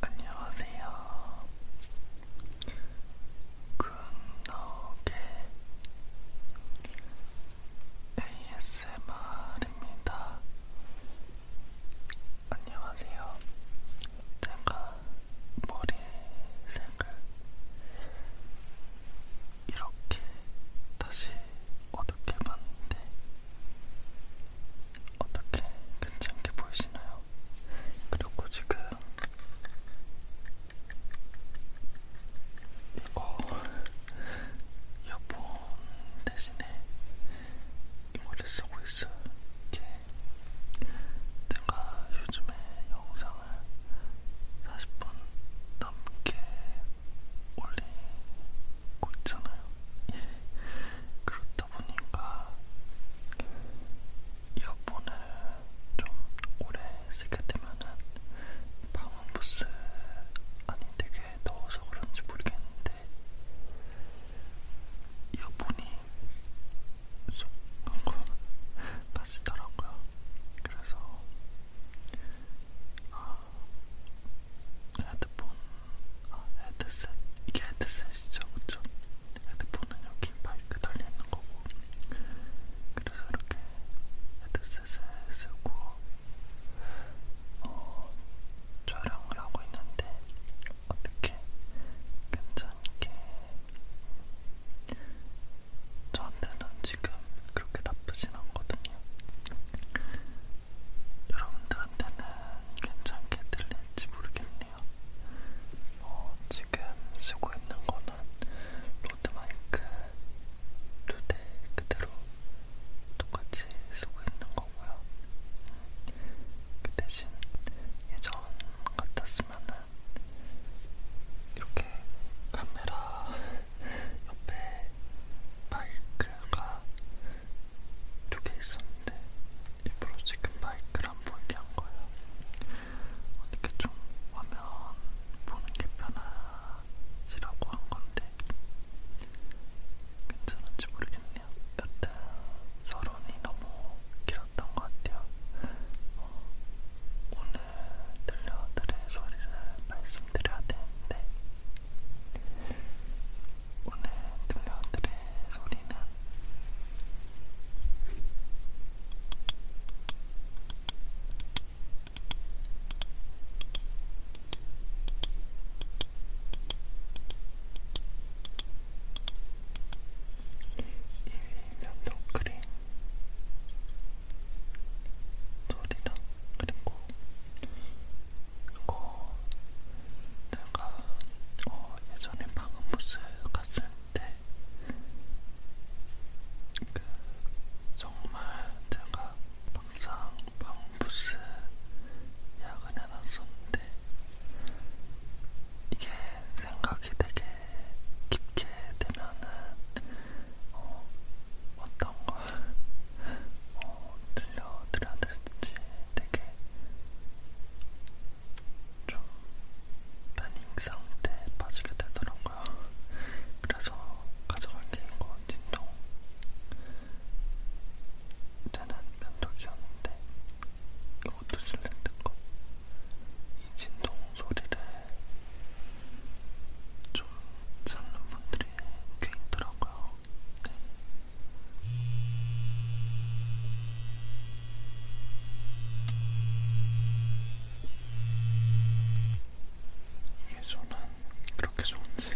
안녕하세요. 굿노게 ASMR입니다. 안녕하세요. 제가 머리색을 이렇게 다시 어떻게 봤는데 어떻게 괜찮게 보이시나요? 그리고 지금 이거 이어폰 대신에 이거를 쓰고 있어요. 이렇게 제가 요즘에 영상을 40분 넘게 올리고 있잖아요. 그렇다 보니까 이어폰을 좀 오래 쓰게 되면은 방음부스 안이 되게 더워서 그런지 모르겠는데 이어폰이 쏙 하고 빠지더라고요. 그래서 아, 헤드폰, 아, 헤드셋, 이게 헤드셋이죠, 그쵸? 헤드폰은 여기 마이크 달려있는 거고 그래서 이렇게 헤드셋에 쓰고 어, 촬영을 하고 있는데 어떻게 괜찮게 저한테는 지금 그렇게 나쁘진 않거든요. 여러분들한테는 괜찮게 들릴지 모르겠네요. 어, 지금 쓰고 있는 거는 로드마이크 두 대 그대로 똑같이 쓰고 있는 거고 같더라고요. 그 대신 예전 같았으면은 이렇게 카메라 옆에 마이크가 두 개 있었는데 일부러 지금 마이크를 안 보이게 한 거예요. 어떻게 좀 화면 보는 게 편하시라고 한 건데 괜찮은지 모르겠네요. 여튼 서론이 너무 길었던 것 같아요. 어, 오늘 들려드릴 소리를 말씀드려야 되는데 오늘 들려드릴 소리는 면도 크림, 돌이랑 그리고 이거 내가 어, 예전에 방음부스 갔을 때 그, 정말 제가 항상 방음부스 예약을 해놨었는데 이게 생각이 되게 깊게 되면은 어, 어떤 걸 어, 들려드려야 될지 되게 좀 패닝 상태에 빠지게 되더라고요. 그래서 가져갈 게 이거 진동. 이제는 면도기였는데 있는데 이것도 실랜드 거. 이 진동 소리를 좀 찾는 분들이 꽤 있더라고요. 네. 이게 저는 그렇게 좋은지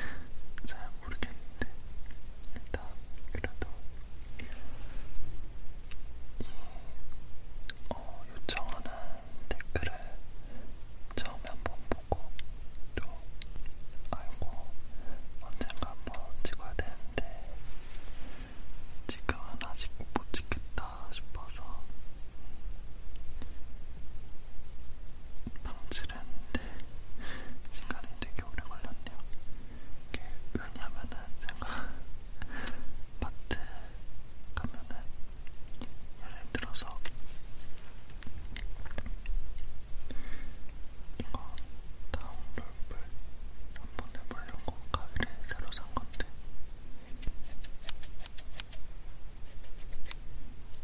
잘 모르겠는데 일단 그래도 이 어, 요청하는 댓글을 처음에 한 번 보고 또 아이고 언젠가 한번 찍어야 되는데 지금은 아직 못 찍겠다 싶어서 방지를 했는데 시간이 되게 오래 걸렸네요. 이게 왜냐면은 제가 마트 가면은 예를 들어서 이거 다운롤을 한번 해보려고 가위를 새로 산 건데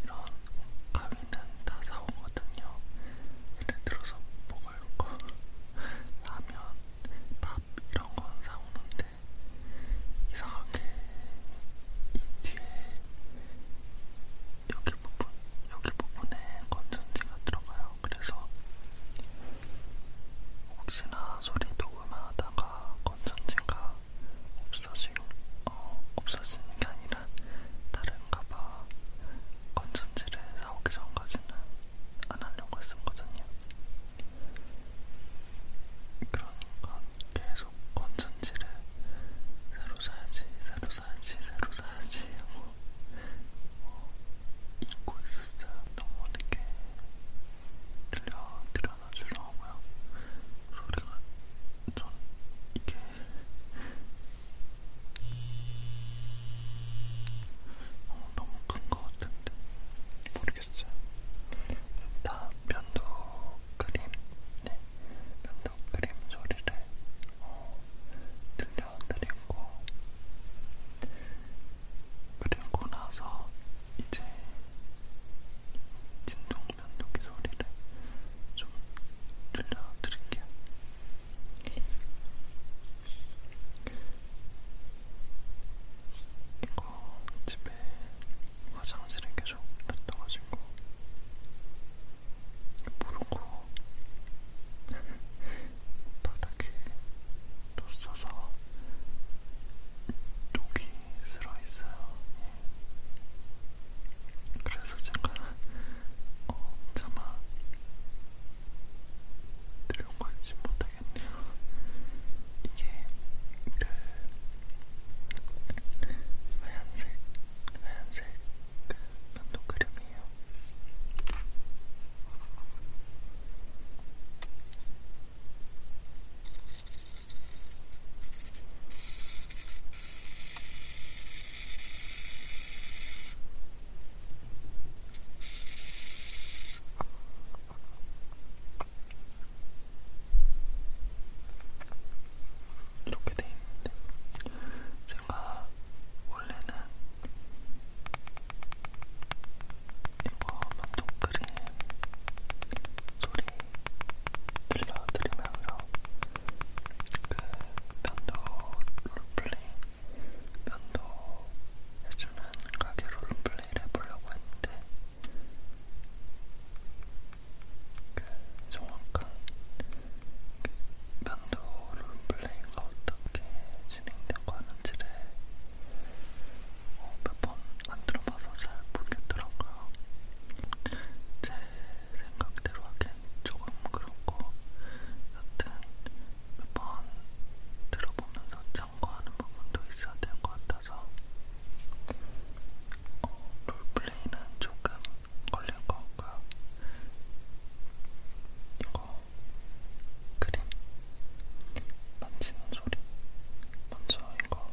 이런 가위는 다 사오거든요. 예를 들어서 먹을 거 라면, 밥 이런 건 사오는데 이상하게 이 뒤에 여기 부분, 여기 부분에 건전지가 들어가요. 그래서 혹시나 소리 녹음하다가 건전지가 없어지고 어, 없어지는 게 아니라 다른 가방 건전지를 사오기 전까지는 안 하려고 했었거든요. 그러니까 계속 건전지를 새로 사야지, 새로 사야지, 새로 사야지 하고 뭐 잊고 있었어요. 너무 늦게 들려, 들려서 죄송하고요. 소리가 전 이게 어, 너무 큰 것 같은데 모르겠어요. 다 면도 크림, 네, 면도 크림 소리를 어, 들려드리고 그리고 나서 이제 진동 면도기 소리를 좀 들려드릴게요. 이거 집에 화장실에 계속 뱉어가지고 모르고 바닥에 뒀어서 녹이 쓸어있어요. 그래서 제가 어, 차마 들려가지 못하겠네요. 이게 그 하얀색, 하얀색 그 면도 크림이에요. 이렇게 돼 있는데 제가 원래는 이거 만족그림 소리 들려드리면서 그 면도 롤플레이, 면도 해주는 가게 롤플레이를 해보려고 했는데 그 정확한 그 면도 롤플레이가 어떻게 진행되고 하는지를 어, 몇번안 들어봐서 잘 모르겠더라고요. 제 생각대로 하긴 조금 그렇고 여튼 몇번 들어보면서 참고하는 부분도 있어야 될것 같아서 어, 롤플레이는 조금 걸릴 것 같고요. 이거 그림 만지는 소리 먼저 이거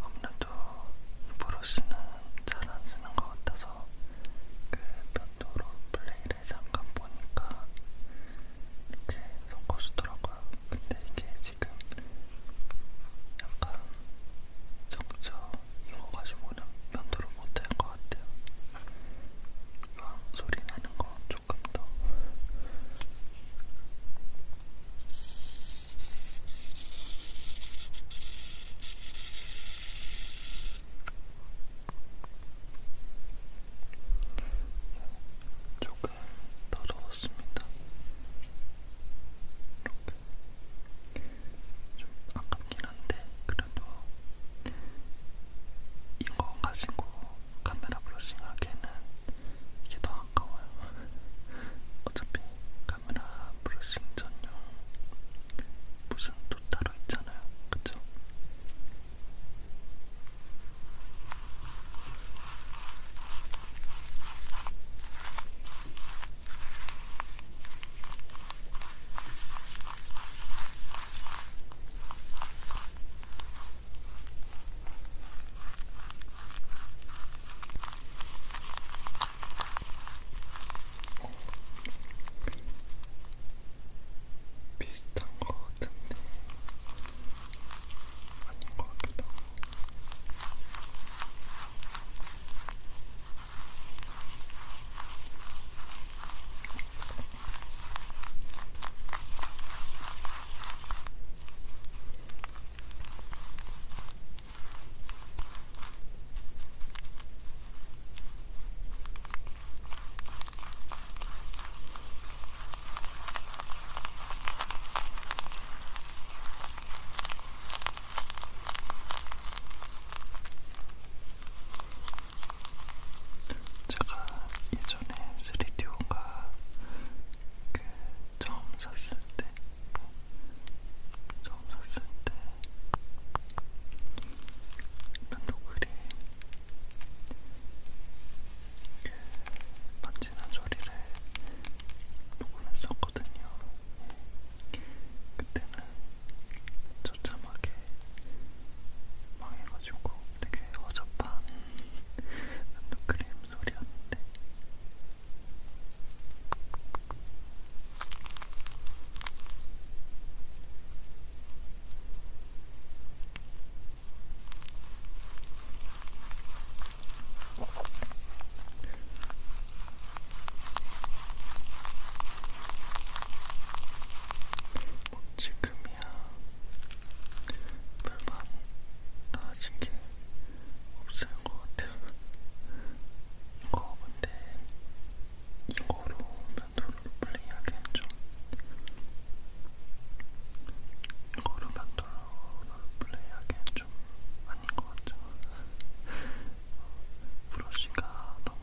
아무래도 이 브러쉬는 잘 안 쓰는 것 같아서 그 벽돌로 플레이를 잠깐 보니까 이렇게 섞어주더라고요. 근데 이게 지금 약간 적죠 익어가지고는 면도를 못할 것 같아요. 이왕 소리 나는 거 조금 더 조금 더러웠습니다. 이렇게 좀 아깝긴 한데 그래도 이거 가지고 카메라 브러싱하기에는 이게 더 아까워요. 어차피 카메라 브러싱 전용 무슨 또 따로 있잖아요. 그쵸? 비슷한 것 같은데 아닌 것 같기도 하고 제가 예전에 스리디오가 그 처음 샀을 때, 처음 샀을 때 면도그리 만지는 소리를 녹음했었거든요. 예. 그때는 저참하게 망해가지고 되게 어젯밤 면도크림 소리였는데 뭐 지금이야 별반 나아진 게 없을 것 같아요. 이거 근데 이거로 면도를 플레이하기엔 좀 이거로 면도를 플레이하기엔 좀 아닌 것 같죠. 브러쉬가 너무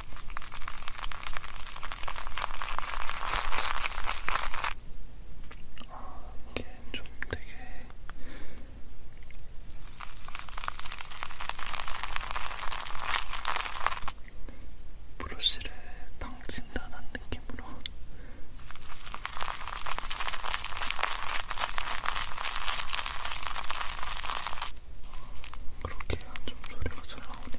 아, 이게 좀 되게 브러쉬를 당진다는 느낌으로 그렇게 해야 좀 소리가 잘 나오네.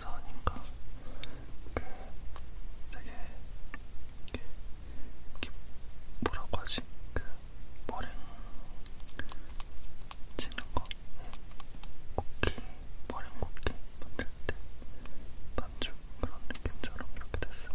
감사하니까 그 되게 기, 뭐라고 하지? 그 머랭 치는 거 쿠키, 머랭 쿠키 만들 때 반죽 그런 느낌처럼 이렇게 됐어.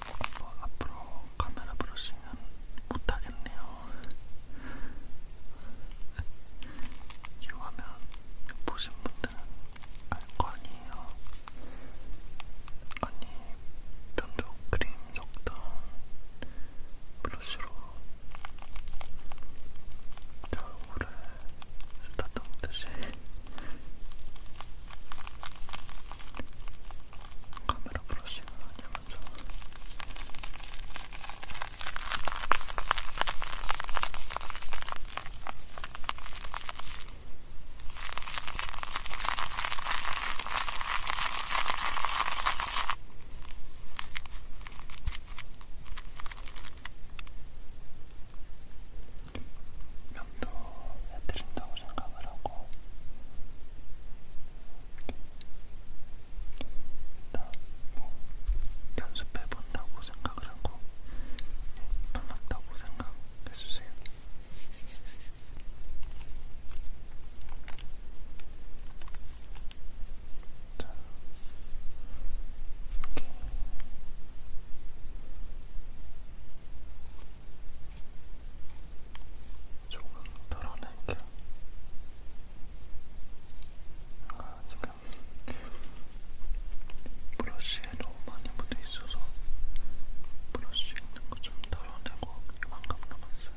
뭐 앞으로 카메라 브러싱은 못하겠네요. 이 화면 보신 분들은 알 거 아니에요. 아니, 면도 크림 적던 브러쉬로 저 얼굴을 쓰다듬듯이 카메라 브러싱을 하냐면서 설명도 해드린다고 생각을 하고 일단 뭐 연습해본다고 생각을 하고 반갑다고 예, 생각해주세요. 자, 이렇게. 조금 덜어낼게요. 아, 지금 브러쉬에 너무 많이 묻어 있어서 브러쉬 있는 거좀 덜어내고 이만큼 남았어요.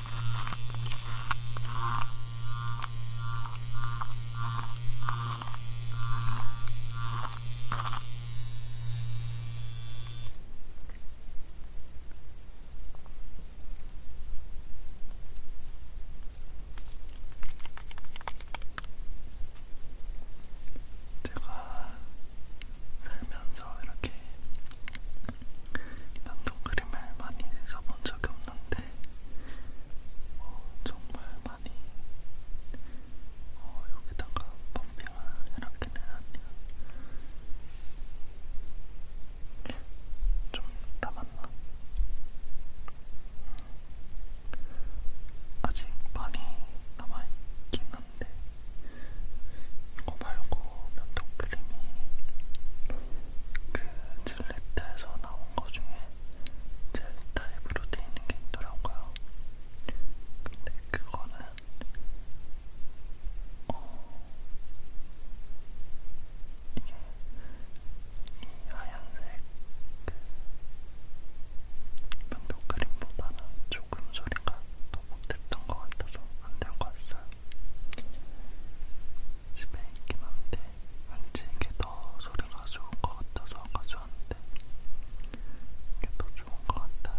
제가 살면서 이렇게 면도크림을 많이 써본 적이 없는데 어, 정말 많이 어, 여기다가 펌핑을 이렇게는 하네요. 좀 남았나? 음, 아직 많이 남아있긴 한데 이거 말고 면도크림이 그 젤리타에서 나온 거 중에 젤타입으로 돼 있는 게 있더라고요. 근데 그거는 어 이게 이 하얀색 그 면도크림보다는 조금 소리가 더더 못했던 것 같아서 안 들고 왔어요. 집에 있긴 한데 왠지 이게 더 소리가 좋은 것 같아서 가져왔는데 이게 더 좋은 것 같아요.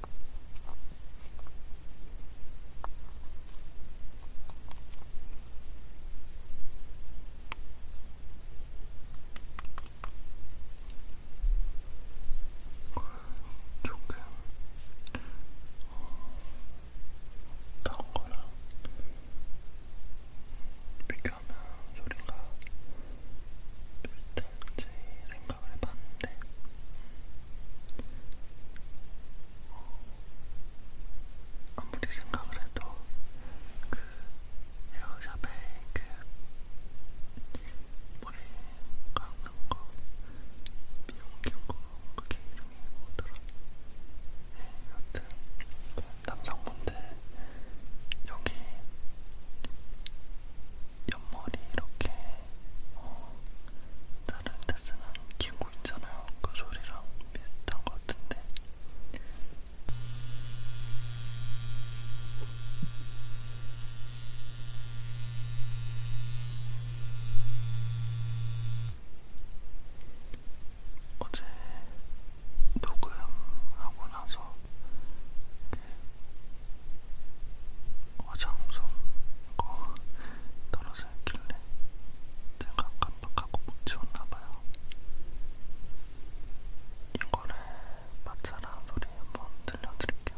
조금 다른 어, 거랑 비교하면 소리가 비슷한 될지 생각을 해봤는데 아무리 생각을 해도 그 헤어샵에 그 머리 감는 거 미용기구 그게 이름이 뭐더라 네, 여튼 그 남성분들 여기 옆머리 이렇게 다른 데 쓰는 기구 있잖아요. 그 소리랑 비슷한 것 같은데. 어제 녹음하고 나서 화장솜거 떨어져 있길래 제가 깜빡하고 못 치웠나봐요. 이거를 맞춰라 소리 한번 들려드릴게요.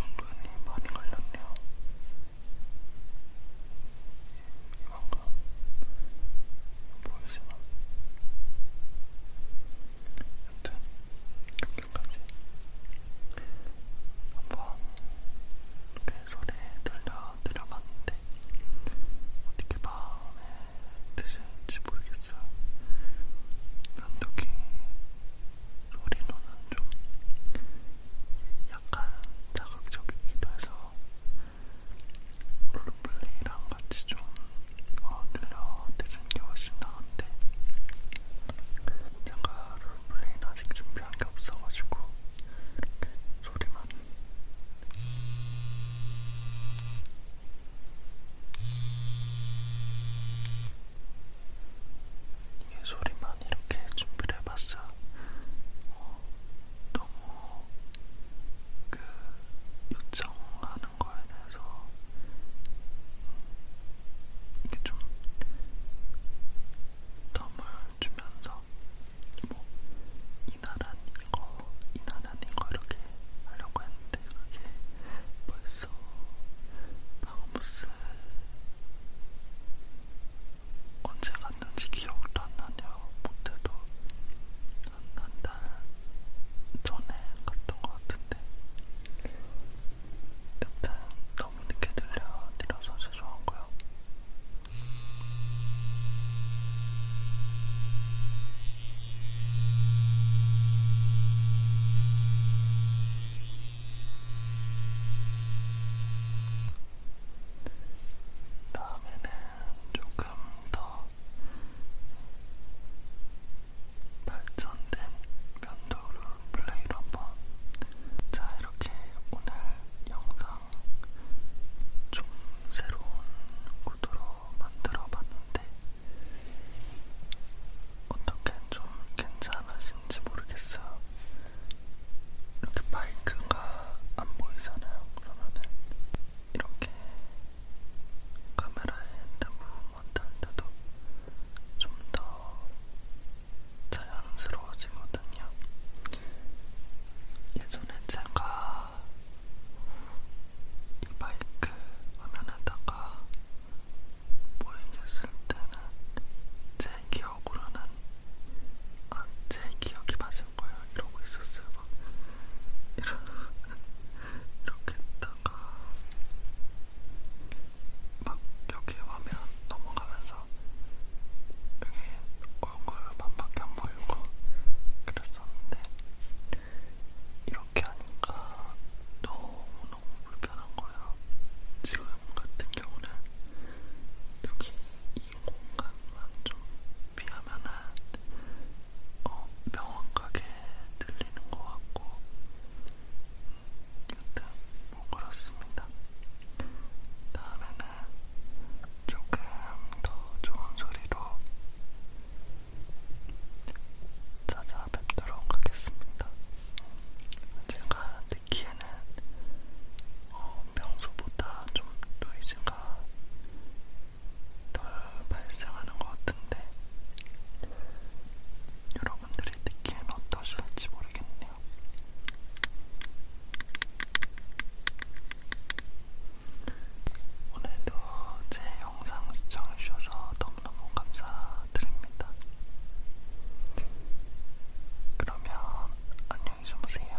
은근히 많이 걸렸네요. 이만큼 보이지만 여튼 여기까지 한번 그 소리 들려드려봤는데 어떻게 마음에 드실지 모르겠어요. 면도기 소리로는 좀 약간 자극적이기도 해서 롤플레이랑 같이 좀 어, 들려드릴 수준이 훨씬 나은데 제가 롤플레이는 아직 준비한 게 없어가지고 이렇게 소리만 이 소리만 이렇게 준비를 해봤어 어, 너무 그 요청한 하는 거에 대해서 어, 이게 좀 덤을 주면서 뭐 이나란 이거, 이나란 이거 이렇게 하려고 했는데 그게 벌써 방무스 언제 갔는지 기억도 안 나네요. 못해도 한한달 일단은 전에 갔던 것 같은데 일단 너무 늦게 들려드려서 죄송하고요. 다음에는 조금 더 발전된 면도를 플레이로 한번 자 이렇게 오늘 영상 좀 새로운 구도로 만들어 봤는데 어떻게 좀 괜찮으신지 모르겠어요. 이렇게 마이크가 안 보이잖아요. 그러면은 이렇게 카메라에 너무 못한데도 좀 더 자연스러워지거든요. 예전에 제가 이 마이크 화면에다가 보이겠을 때는 제 기억으로는 아, 제 기억이 맞을 거예요. 이러고 있었어요. 막 이런 이렇게 했다가 막 여기 화면 넘어가면서 여기 얼굴만밖에 안 보이고 그랬었는데 이렇게 하니까 너무너무 불편한 거예요. 지금 같은 경우는 여기 이 공간만 좀 피하면은 어, 병원 가게 들리는 것 같고 여튼 뭐 그렇습니다. 다음에는 조금 더 좋은 소리로 찾아뵙도록 하겠습니다. 제가 듣기에는 어, 평소보다 좀 노이즈가 덜 발생하는 것 같은데 여러분들이 느끼는 어떠실지 모르겠네요. 오늘도 제 영상 시청해주셔서 너무너무 감사드립니다. 그러면 안녕히 주무세요.